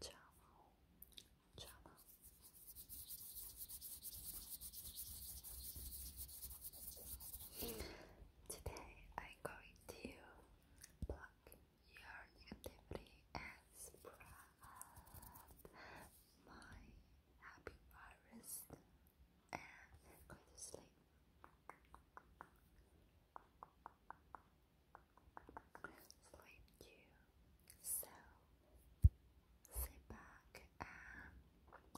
Chamo, chamo. Today I'm going to block your negativity and spread my happy virus and go to sleep sleep you. So sit back and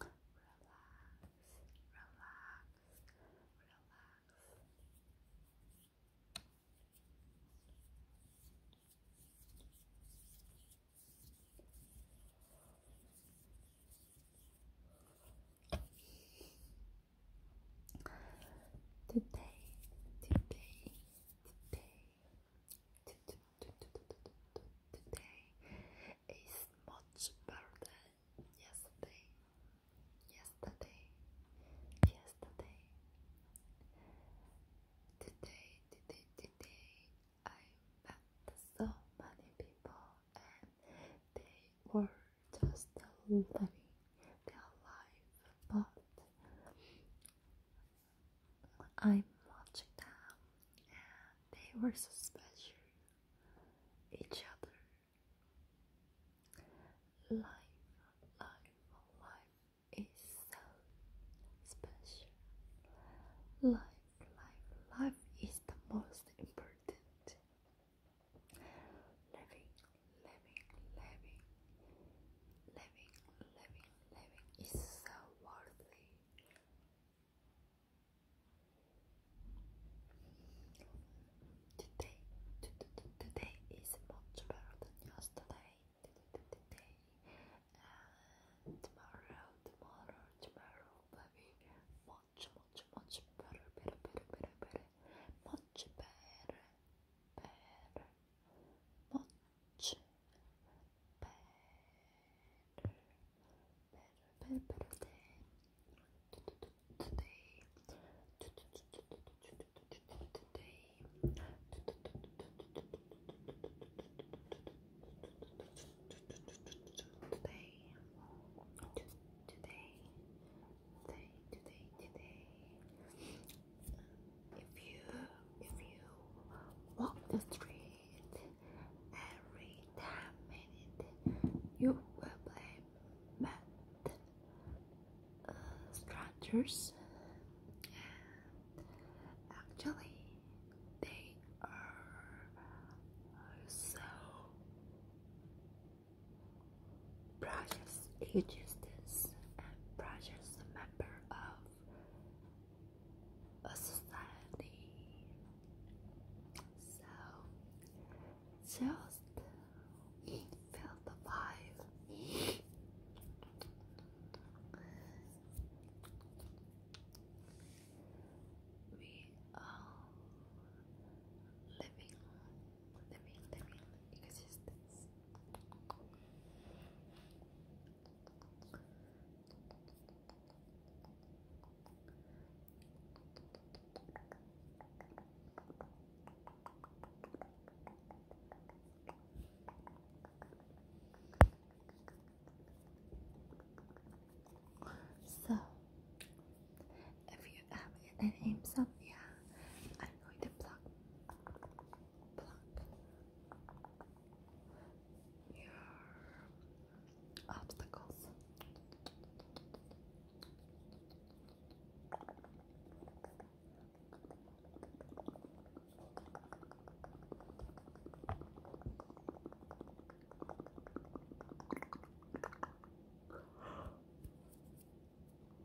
relax, relax, relax. Today, today, today, Today is much better than yesterday. Yesterday, yesterday. Today, today, today, I met so many people, and they were just loving their life, but I am watching them and they were so special each other life life life is so special life life life is the most important living living living living living living is so worthy. Today, today is much better than yesterday. tomorrow, tomorrow, tomorrow will much, much, much better, better, better, better, much better, better, much much better, better, better, better day. Today, today, today, today, today, today, today, if you if you walk the street every 10 minutes, you will blame mad uh, strangers. actually, they are so precious existence and precious member of a society. So just feel the vibe. We are living, living, living existence. So, if you have any insomnia, I'm going to plug pluck your obstacles.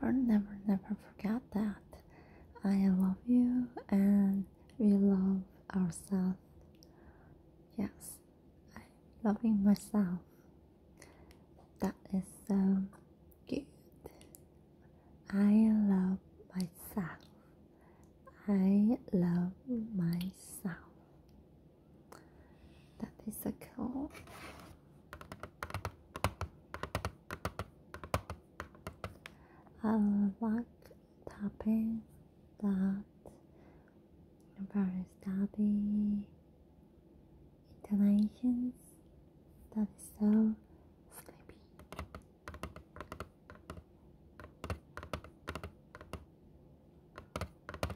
Never, never, never forget that. I love you and we love ourselves. Yes, I'm loving myself. That is so good. I love myself. I love myself that cool. I like tapping that very stabby intonations that is so sleepy.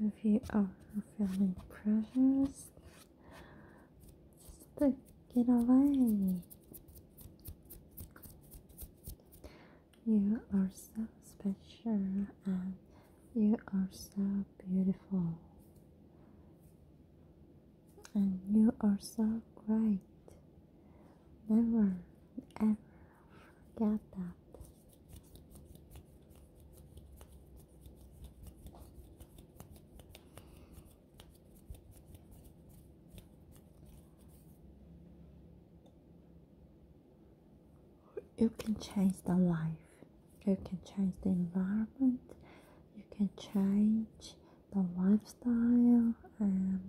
If you are feeling pressures, just get away. You are so special and you are so beautiful. And you are so great. Never ever forget that you can change the life you can change the environment you can change the lifestyle and um,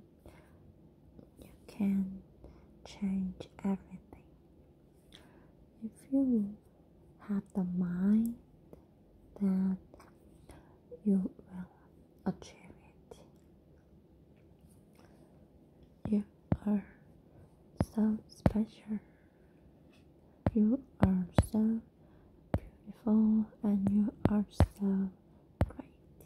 you can change everything if you have the mind that you will achieve it. You are so special. You are so beautiful and you are so great.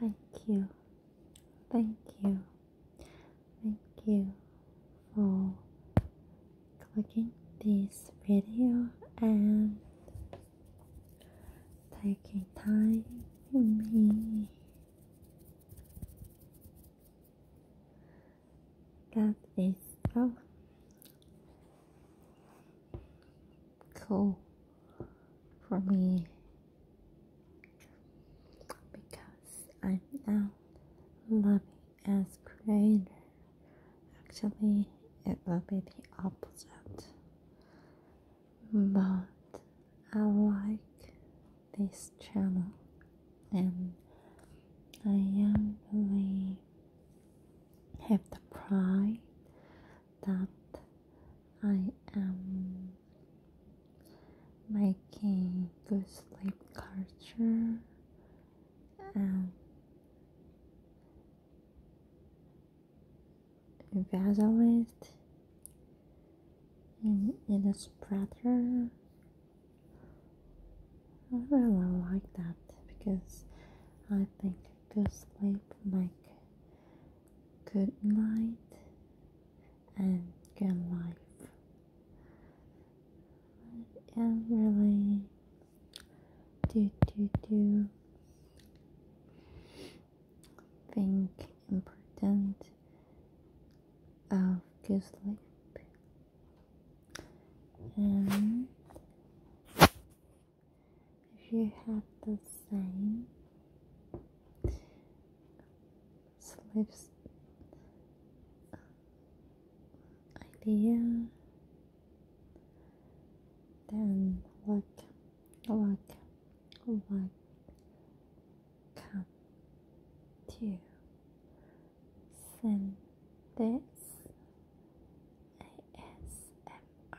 Thank you, thank you, thank you for clicking this video and taking time with me. That is so cool for me because I'm now loving as creator. Actually, it will be the opposite, but I like this channel and I am really have the pride that I am making good sleep culture and evangelist and illustrator. I really like that because I think good sleep make good night and good life. I really do do do think important of good sleep and if you have the same sleeps uh, idea then look, look, like come to send this ASMR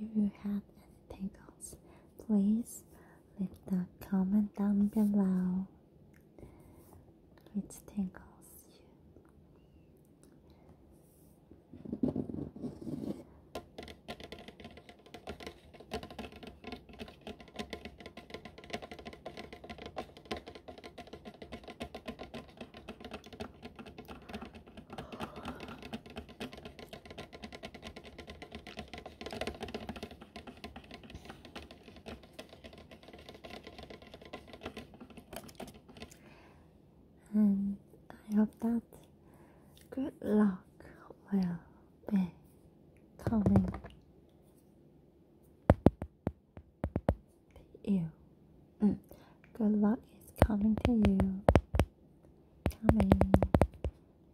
If you have any tickles, please leave the comment down below which tickles and um, I hope that good luck will be coming to you. Mm. Good luck is coming to you. Coming